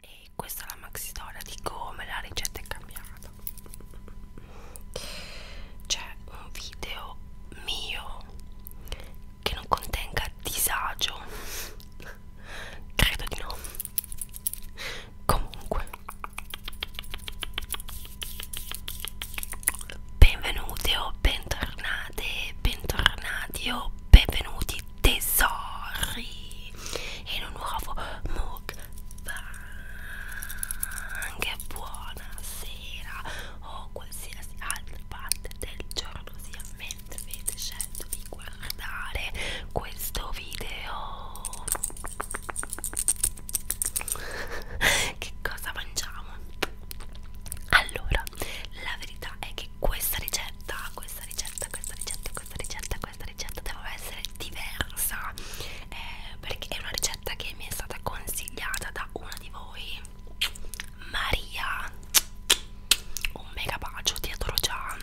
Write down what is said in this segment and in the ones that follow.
E questa è la maxi storia di come la ricetta è cambiata. C'è un video mio che non contenga disagio. Credo di no. Comunque, benvenute o bentornate, bentornati o benvenuti tesori in un nuovo mukbang che buonasera o qualsiasi altra parte del giorno sia mentre avete scelto di guardare questo video che cosa mangiamo? allora la verità è che questa ricetta questa ricetta questa ricetta questa ricetta questa ricetta doveva essere diversa eh, perché è una ricetta che mi è stata consigliata da una di voi Maria un mega bacio ti adoro già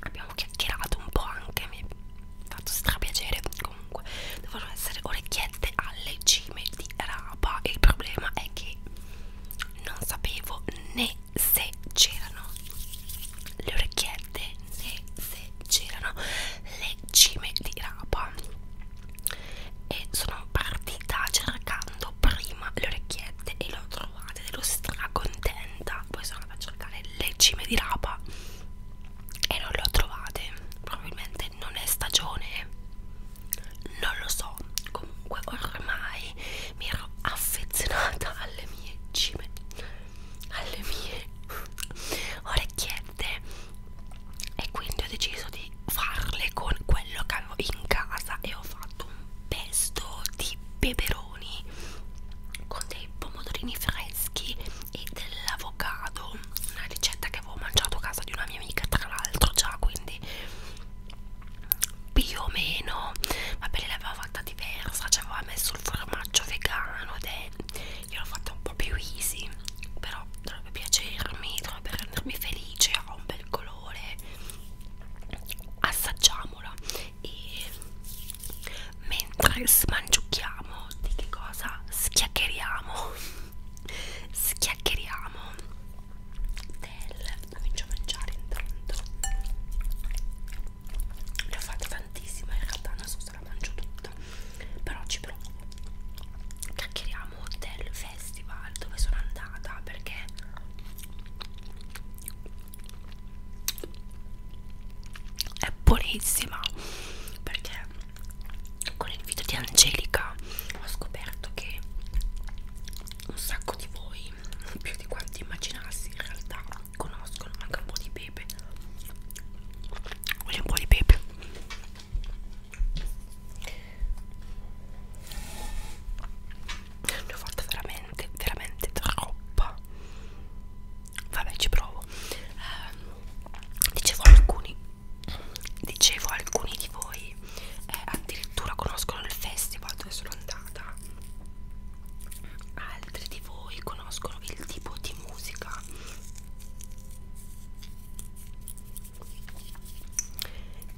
abbiamo chiacchierato un po' anche mi ha fatto strapiacere comunque devono essere orecchiette alle cime di rapa il problema è che non sapevo né se c'erano le orecchiette né se c'erano le cime di rapa e sono partita cercando prima le orecchiette e le ho trovate ero stracontenta poi sono andata a cercare le cime di rapa e non le ho trovate probabilmente non è stagione non lo so comunque ormai mi ero affezionata alle mie cime alle mie orecchiette e quindi ho deciso di farle con quello che avevo in casa e ho fatto un pesto di peperoni con dei pomodorini freschi e dell'avocado una ricetta che avevo mangiato a casa di una mia amica tra l'altro già quindi più o meno vabbè lei l'aveva fatta diversa ci cioè aveva messo il formaggio vegano ed è gliel'ho fatta un po' più easy però dovrebbe piacermi dovrebbe rendermi felice ha un bel colore assaggiamola e mentre smangiucchiamo di che cosa schiaccheriamo schiaccheriamo del comincio a mangiare intanto ne ho fatte tantissime in realtà non so se la mangio tutta però ci provo chiacchieriamo del festival dove sono andata perché è buonissima perché con il video di Angelica ho scoperto che un sacco di voi mai più di quanti immaginassi in realtà conoscono manca un po' di pepe voglio un po' di pepe ne ho fatta veramente veramente troppa vabbè ci provo eh, dicevo alcuni dicevo alcuni di voi eh, addirittura conoscono il festival dove sono andata altri di voi conoscono il tipo di musica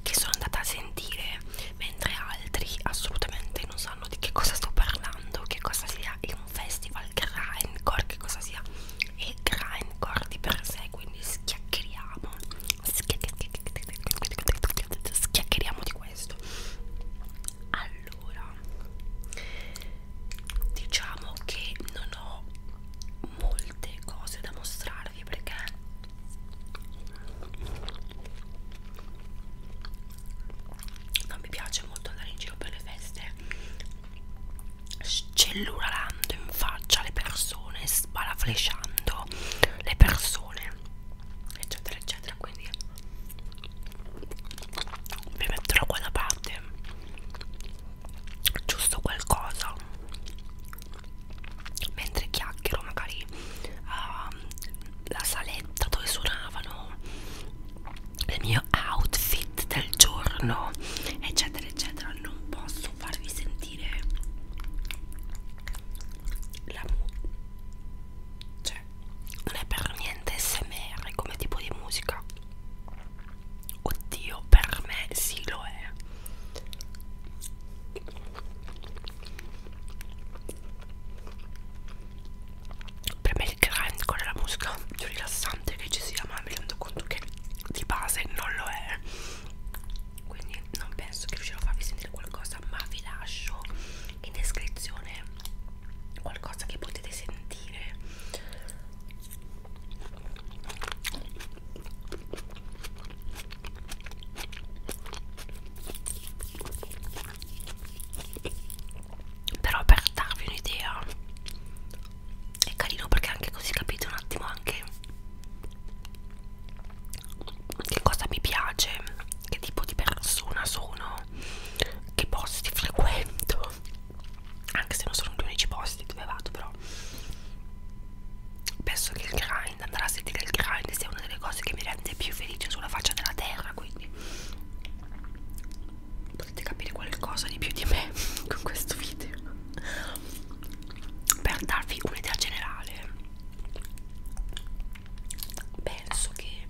che sono andata a sentire mentre altri assolutamente non sanno di che cosa sto parlando che cosa sia è un festival grindcore che cosa sia e grindcore di per sé quindi schiaccheriamo schiaccheriamo di questo allora diciamo che non ho molte cose da mostrarvi perché non mi piace molto andare in giro per le feste cellulando in faccia le persone sbalaflesciando le persone sole eccetera eccetera quindi mi metterò qua da parte giusto qualcosa mentre chiacchiero magari uh, la saletta dove suonavano il mio outfit del giorno eccetera eccetera non posso farvi sentire la cioè non è per niente smr come tipo di musica oddio per me sì lo è per me il grind con la musica più rilassante che ci sia ma mi rendo conto che di base non lo è quindi non penso che riuscirò a farvi sentire qualcosa cosa ma vi lascio in descrizione qualcosa che potete sentire però per darvi un'idea è carino perché anche così capite un attimo anche che cosa mi piace, che tipo di persona sono, che posti frequento, anche se non sono gli unici posti dove vado però penso che il grind, andare a sentire il grind sia una delle cose che mi rende più felice sulla faccia della terra, quindi potete capire qualcosa di più di me con questo video per darvi un'idea generale penso che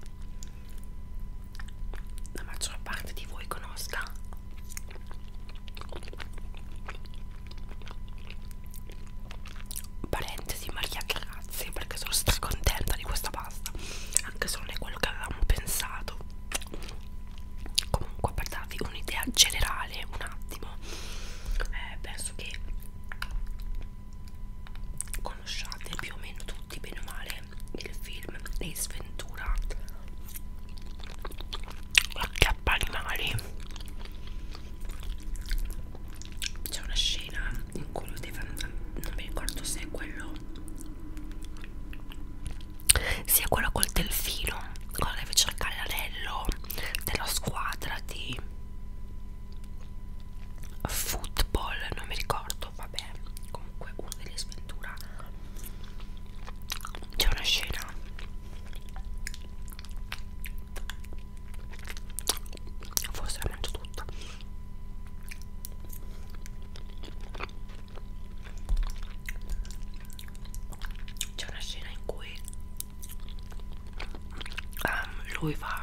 la maggior parte di voi conosca parentesi Maria Grazia perché sono stracontenta di questa pasta anche se non è quello che avevamo pensato comunque per darvi un'idea generale un attimo eh, penso che conosciate più o meno tutti bene o male il film Le Sventura Acchiappa animali c'è una scena in cui lui deve andare non mi ricordo se è quello se è quello col delfino quando deve cercare l'anello della squadra di football non mi ricordo vabbè comunque uno delle sventura c'è una scena forse la mangio tutta c'è una scena in cui um, lui va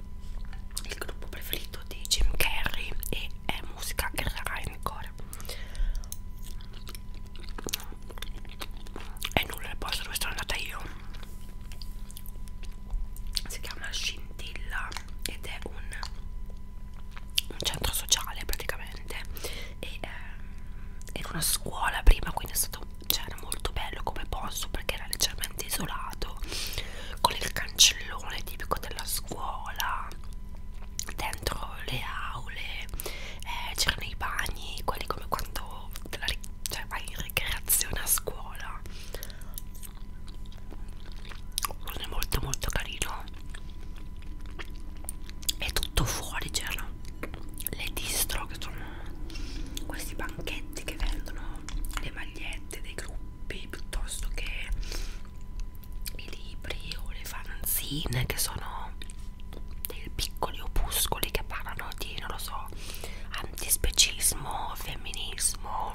il gruppo preferito di Jim Carrey e è musica che sarà in cuore e nulla il posto dove sono andata io si chiama Scintilla ed è un, un centro sociale praticamente e, eh, era una scuola prima quindi c'era cioè, molto bello come posto perché era leggermente isolato con il cancellone tipico della scuola dentro le aule eh, c'erano i bagni quelli come quando te la, cioè, vai in ricreazione a scuola non è molto molto carino e tutto fuori c'erano le distro che sono questi banchetti che vendono le magliette scalette dei gruppi piuttosto che i libri o le fanzine che sono dei piccoli opuscoli che parlano di, non lo so, antispecismo, femminismo,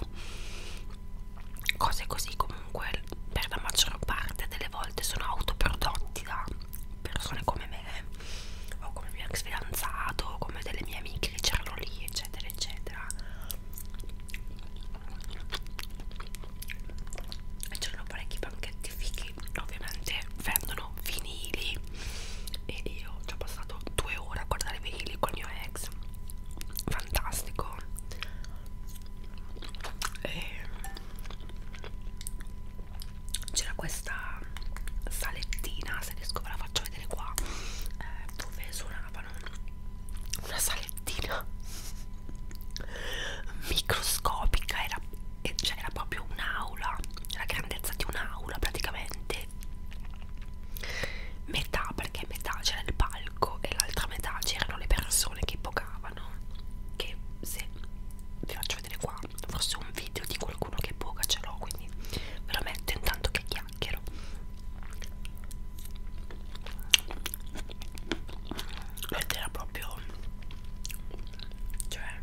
cose così comunque per la maggior parte delle volte sono autoprodotti da persone come me o come mio ex fidanzato o come delle mie amiche che c'erano lì funghi eccetera eccetera e c'erano parecchi banchetti fighi ovviamente vendono vinili e io ci ho passato due ore a guardare vinili col mio ex fantastico c'era questa salettina se riesco ve la faccio vedere qua eh, dove me ne suonavano una salettina microscopica era, cioè era proprio un'aula la grandezza di un'aula praticamente metà perché metà c'era il palco e l'altra metà c'erano le persone che ipocavano che se vi faccio vedere qua forse un video di qualcuno che poca ce l'ho quindi ve lo metto intanto che chiacchiero chiacchiero ed era proprio cioè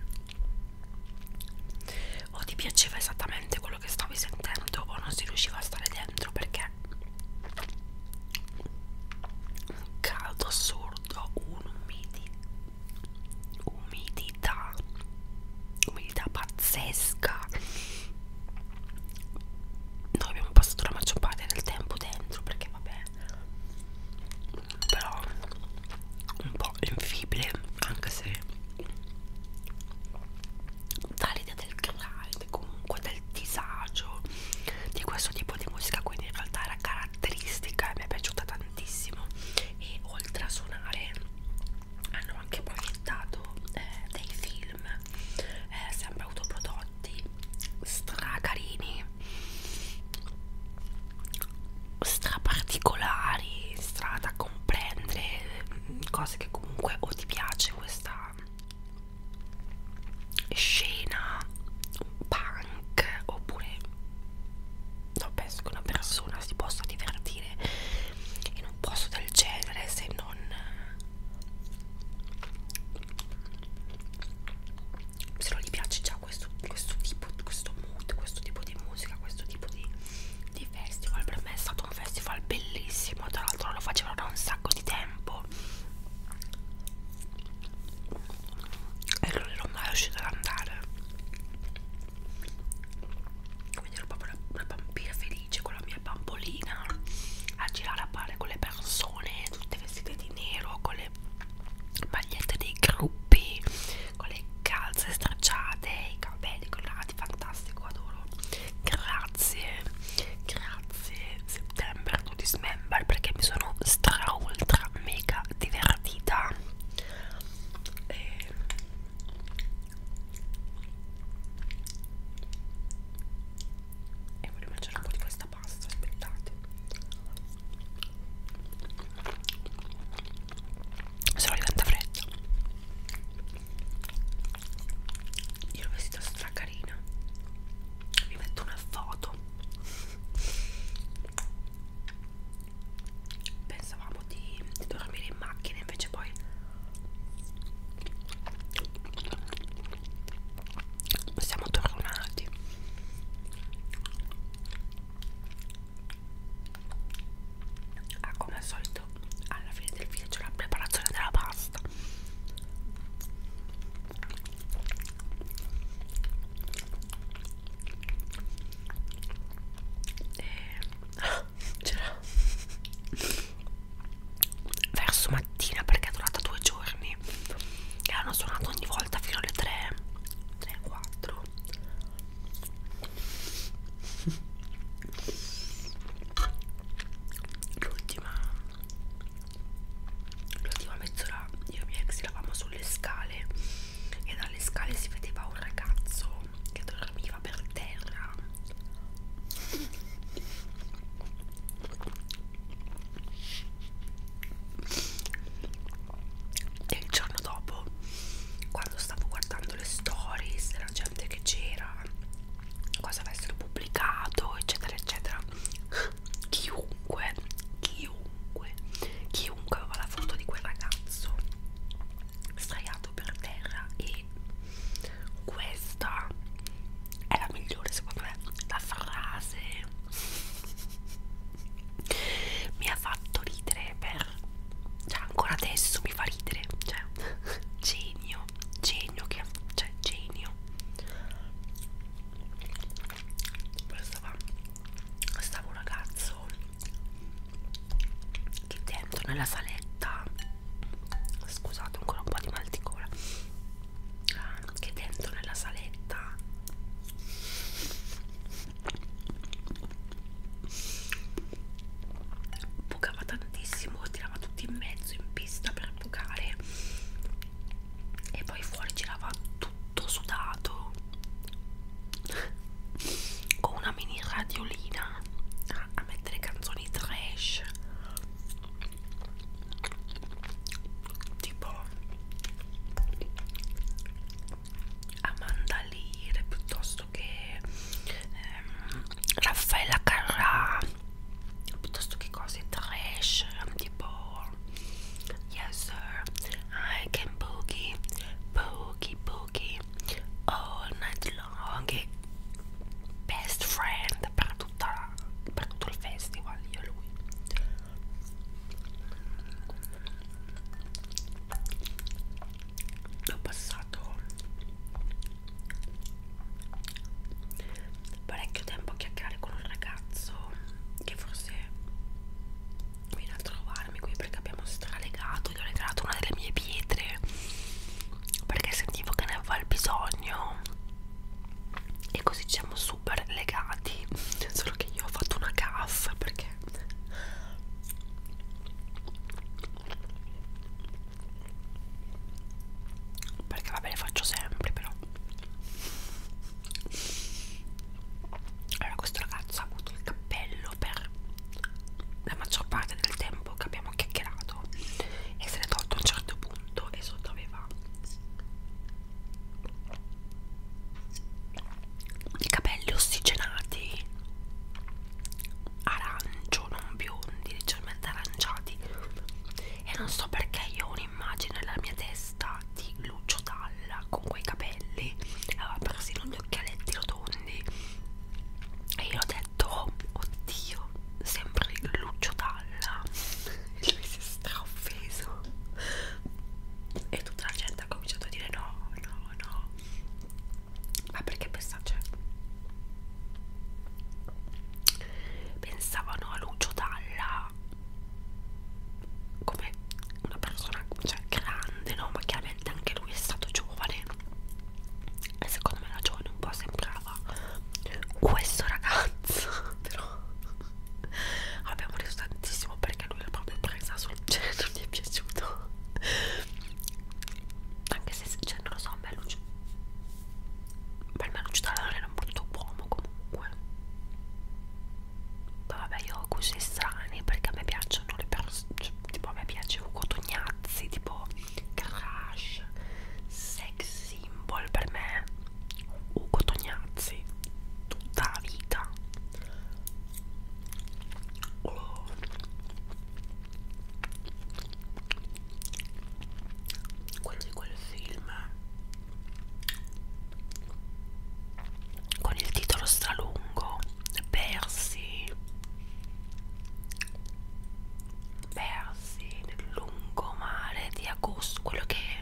o ti piaceva esattamente quello che stavi sentendo o non si riusciva a stare dentro perché un caldo assurdo un umidi umidi umidità umidità pazzesca noi abbiamo passato la maggior parte del tempo dentro perché vabbè però un po' infibile anche se dall'idea del grind comunque del disagio di questo tipo di musica quindi in realtà era caratteristica e mi è piaciuta tantissimo e oltre a suonare hanno anche proiettato eh, dei film eh, sempre autoprodotti stracarini straparticolari stra da comprendere mm, cose che comunque o ti piace questa scena punk oppure non penso che una persona si possa divertire in un posto del genere se non se non gli piace già questo, questo tipo questo mood questo tipo di musica questo tipo di, di festival per me è stato un festival bellissimo tra l'altro lo facevano da un sacco di tempo e non ero mai riuscita ad andare quindi ero proprio una, una bambina felice felice con la mia bambolina a girare a pare con le persone tutte vestite di nero con le magliette dei gruppi con le calze stracciate i capelli colorati fantastico adoro grazie grazie settembre to dismember perché mi sono stra ultra mega divertita e e voglio mangiare un po' di questa pasta aspettate se no diventa fredda io l'ho vestita stracarina vi metto una foto pensavamo di, di dormire in macchina invece poi siamo tornati ah come al solito alla fine del video c'è la preparazione della pasta e c'era verso mattina perché è durata due giorni e hanno suonato ogni volta fino alle 3 3 4 l'ultima l'ultima mezz'ora io e mia ex eravamo sulle scale e dalle scale si vedeva un ragazzo gatto che dormiva per terra e il giorno dopo quando stavo guardando le stories della gente che c'era cosa avessero pubblicato eccetera eccetera chiunque chiunque chiunque aveva la foto di quel ragazzo sdraiato per terra e questa è la migliore secondo me la frase mi ha fatto ridere per cioè ancora adesso mi fa ridere cioè genio genio che cioè genio poi stava stava un ragazzo che dentro nella saletta scusate ancora un po' di mal di gola che dentro nella saletta bucava tantissimo tirava tutti in mezzo in pista per bucare e poi fuori girava tutto sudato con una mini radiolina a, a mettere canzoni trash tipo Amanda Lear piuttosto che ehm, Raffaella Carrà piuttosto che cose trash tipo Yes sir I can boogie boogie boogie all night long e best friend per, tutta la, per tutto il festival io e lui ho passato parecchio tempo a chiacchierare con un ragazzo che forse viene a trovarmi qui perché abbiamo stralegato gli ho regalato una delle mie pietre perché sentivo che ne aveva il bisogno e così siamo super legati solo che io ho fatto una cassa perché perché vabbè le faccio sempre però allora questo ragazzo ha avuto il cappello per la maggior parte del tempo tempo che abbiamo chiacchierato e se n'è tolto a un certo punto e sotto aveva i capelli ossigenati arancio non biondi leggermente aranciati e non so perché io ho un'immagine nella mia testa di Lucio Dalla con quei capelli aveva persino gli occhialetti rotondi e io ho detto detto oddio sempre Lucio Dalla e lui si è straoffeso e tutta la gente ha cominciato a dire no no no ma perché pensa, cioè, pensavano a Lucio Dalla come una persona cioè grande no ma chiaramente anche lui è stato giovane e secondo me la giovane un po' sembrava questo ragazzo però abbiamo riso tantissimo perché lui l'ha proprio presa sul genere non gli è piaciuto anche se cioè, non lo so a me Lucio per me Lucio Talano era un brutto uomo comunque ma vabbè io ho gusti strani perché a me piacciono le persone cioè, tipo a me piace Ugo Tognazzi tipo garage, sex symbol per me, Ugo Tognazzi, tutta la vita. Oh. Quello di quel film con il titolo stralungo Persi persi nel lungomare di agosto quello che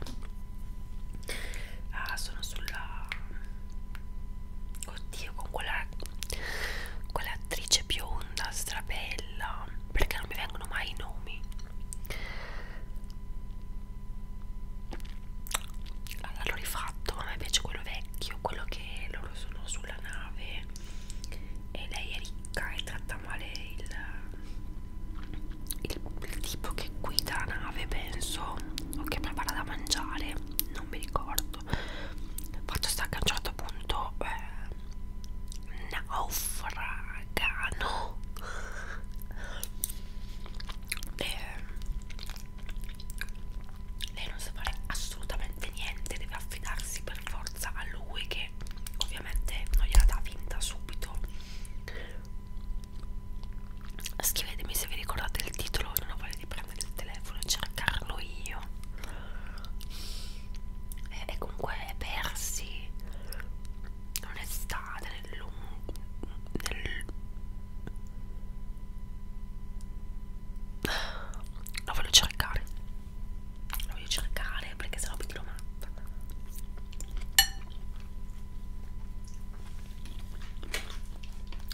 ah, sono sulla oddio con quella quell'attrice bionda strabella perché non mi vengono mai i nomi allora l'ho rifatto a me piace quello vecchio quello che loro sono sulla nave e lei è ricca e tratta male il, il, il tipo che guida la nave penso o che prepara da mangiare non mi ricordo fatto sta che a un certo punto eh, naufragano e lei non sa fare assolutamente assolutamente niente, deve affidarsi per forza a lui che ovviamente non gliela dà vinta subito. Scrivetemi se vi ricordate il titolo, non ho voglia di prendere il telefono e cercarlo io. E, e comunque è persi un'estate nel lungo nel la voglio cercare la voglio cercare perché sennò mi tiro matta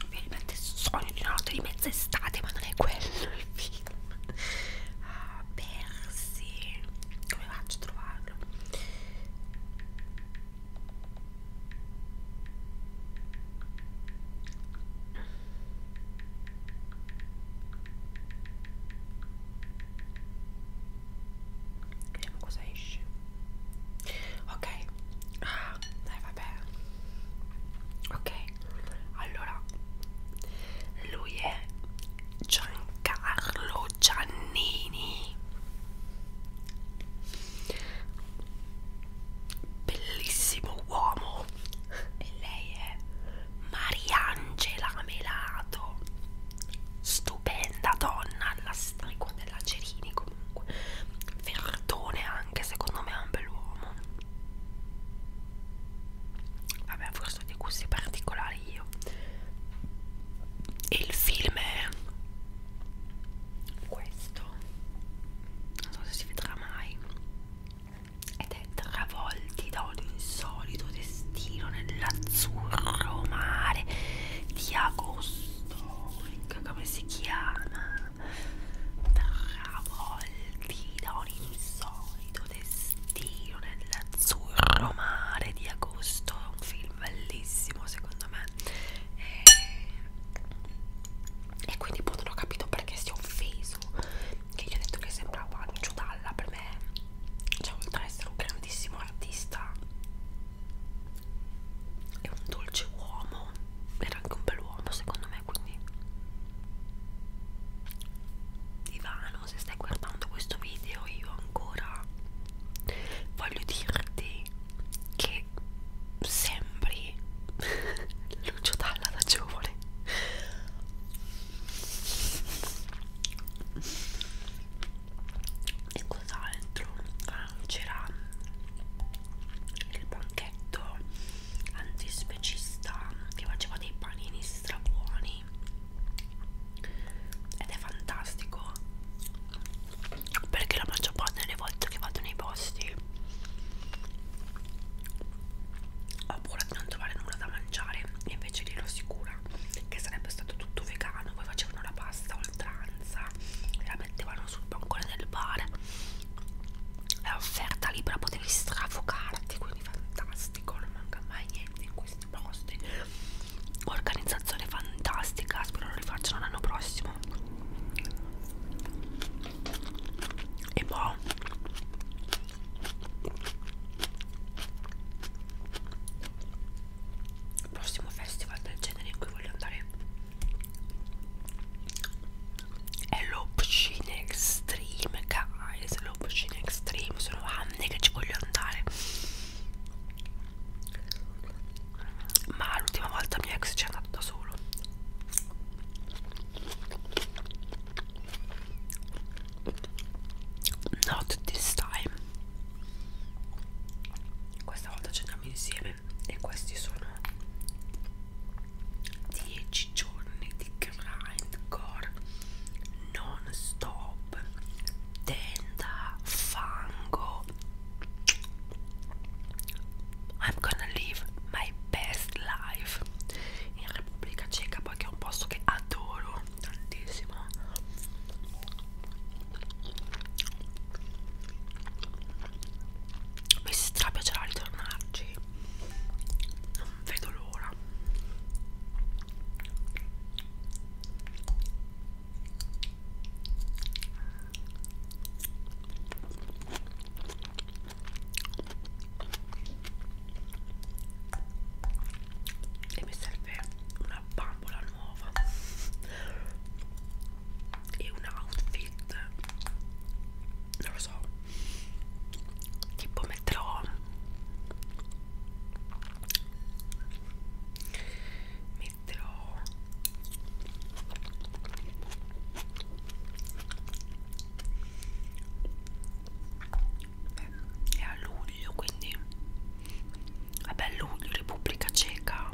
mi rimette il sogno di una notte di mezza estate ma non è quello il film ah, persi come faccio a trovarlo Vediamo cosa esce. Ok. Ah, dai, vabbè. Ok. Allora, lui è Giancarlo Giannini. Bellissimo uomo e lei è Mariangela Melato stupenda donna alla stregua della Cerini comunque Verdone anche secondo me è un bell'uomo vabbè forse ho dei gusti particolari io e il film è questo non so se si vedrà mai ed è travolti da un insolito destino nell'azzurro mare di agosto. Ecco come si chiama? Travolti da un insolito destino nell'azzurro mare di agosto. È un film bellissimo, secondo me. E, e quindi, appunto, non ho capito perché si è offeso che gli ho detto che sembrava Lucio Dalla per me cioè oltre ad essere un grandissimo artista è un dolce uomo era anche un bell'uomo secondo me quindi Ivano se stai guardando questo video io ancora voglio dirti che sembri Lucio Dalla da giovane e cos'altro? Ah, c'era il banchetto antispecista che faceva dei panini strabuoni ed è fantastico perché la maggior parte delle volte che vado nei posti ho paura di non trovare nulla da mangiare e invece lì ero sicura che sarebbe stato tutto vegano poi facevano la pasta oltranza e la mettevano sul bancone del bar è offerta libera potevi strafocarti quindi fantastico non manca mai niente in questi posti organizzazione fantastica spero lo rifacciano l'anno prossimo e poi boh il prossimo festival del genere in cui voglio andare è l'Option Extreme guys l'Option Extreme sono anni che ci voglio andare ma l'ultima volta mio ex ci è andato da solo Not this time Questa volta ceniamo insieme E questi sono 10 giorni di grindcore non stop tenda fango I'm gonna live my best life in Repubblica Ceca poi che è un posto che adoro tantissimo mi strapiacerà ritornarci non vedo l'ora e mi serve una bambola nuova e un outfit non lo so tipo metterò metterò Beh, è a luglio quindi vabbè luglio Repubblica Ceca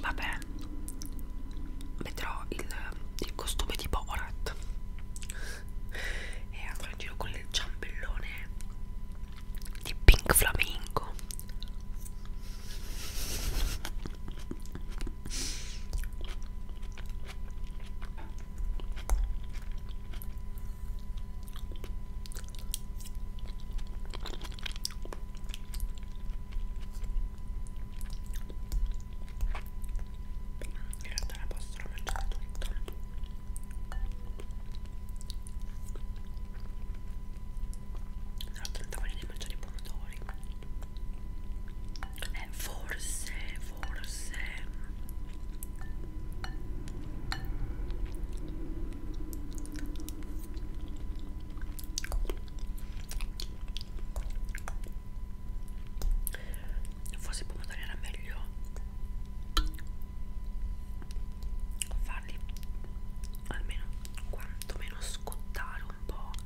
vabbè metterò il, il costume di Borat e andrò in giro con il ciambellone di Pink Flamingo in realtà la possono mangiare tutto. Tra l'altro non devo neanche mangiare i pomodori eh, forse forse forse pomodori era meglio farli almeno quantomeno scottare un po'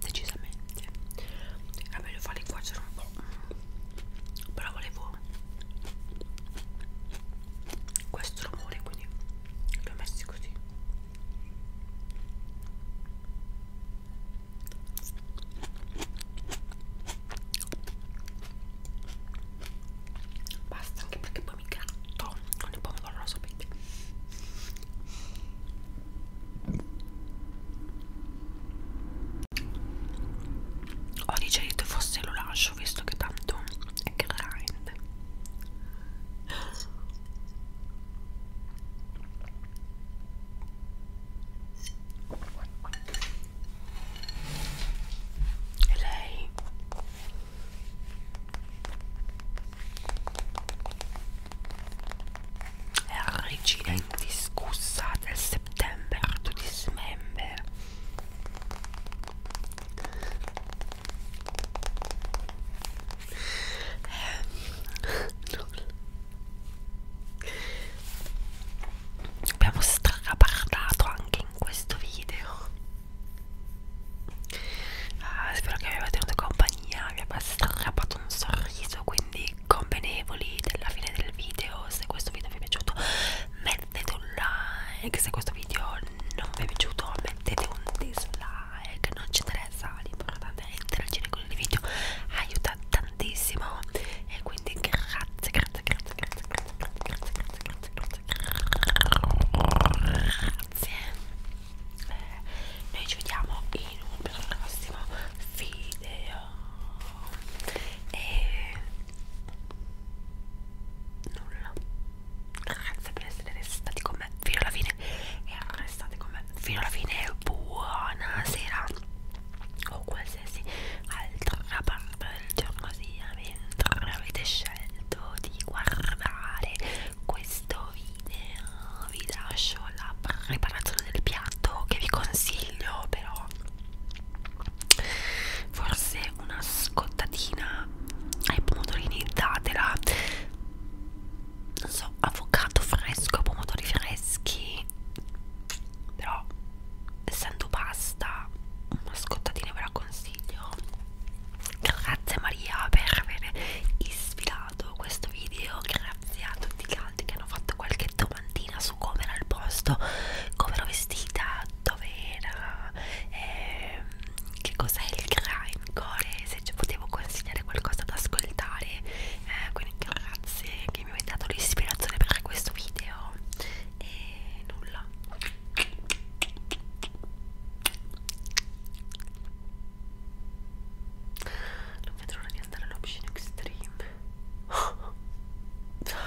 decisamente vabbè lo fa li cuocere un Ecco. però volevo questo rumore quindi li ho messi così basta anche perché poi mi gratto con il pomodoro lo sapete ho digerito forse lo lascio visto che tanto è grind e lei è regina indiscussa del September to December abbiamo straparlato anche in questo video ah, spero che vi abbia tenuto compagnia vi abbia strappato un sorriso quindi convenevoli della fine del video se questo video vi è piaciuto mettete un like se questo video non vi è piaciuto mettete un dislike non ci interessa l'importante è interagire con il video aiuta tantissimo e quindi grazie grazie grazie grazie grazie grazie grazie grazie grazie grazie eh, noi ci vediamo in un prossimo video e nulla grazie per essere restati con me fino alla fine e restate con me fino alla fine buonasera o qualsiasi altra parte del giorno sia mentre avete scelto di guardare questo video vi lascio la preparazione del piatto che vi consiglio però forse una scottatina ai pomodorini datela non so avocado fresco pomodori freschi però essendo pasta una scottatina ve la consiglio grazie Maria per aver ispirato questo video grazie a tutti gli altri che hanno fatto qualche dono domandina su come era il posto, come ero vestita, dove era, eh, che cos'è il grindcore, se ci potevo consigliare qualcosa da ascoltare. Eh, quindi grazie che mi avete dato l'ispirazione per questo video. E nulla. Non vedo l'ora di andare all'option extreme.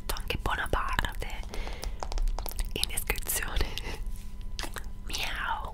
metto anche buona parte in descrizione miau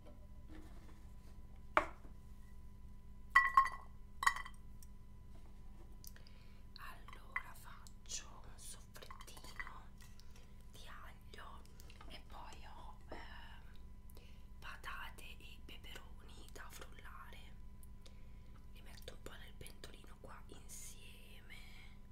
allora faccio un soffrettino di aglio e poi ho eh, patate e peperoni da frullare li metto un po' nel pentolino qua insieme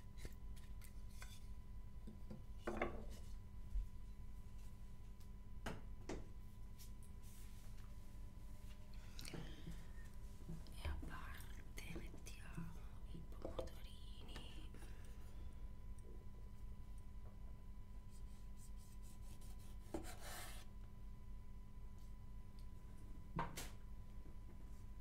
E a parte mettiamo i pomodorini.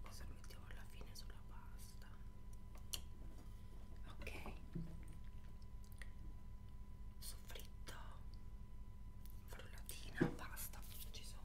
Cosa mettiamo alla fine sulla pasta? Ok. So soffritto, frullatina, pasta, ci sono.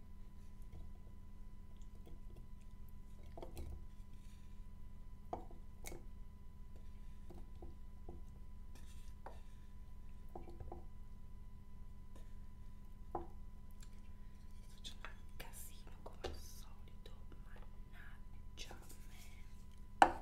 Facciamo un casino come al solito, mannaggia me.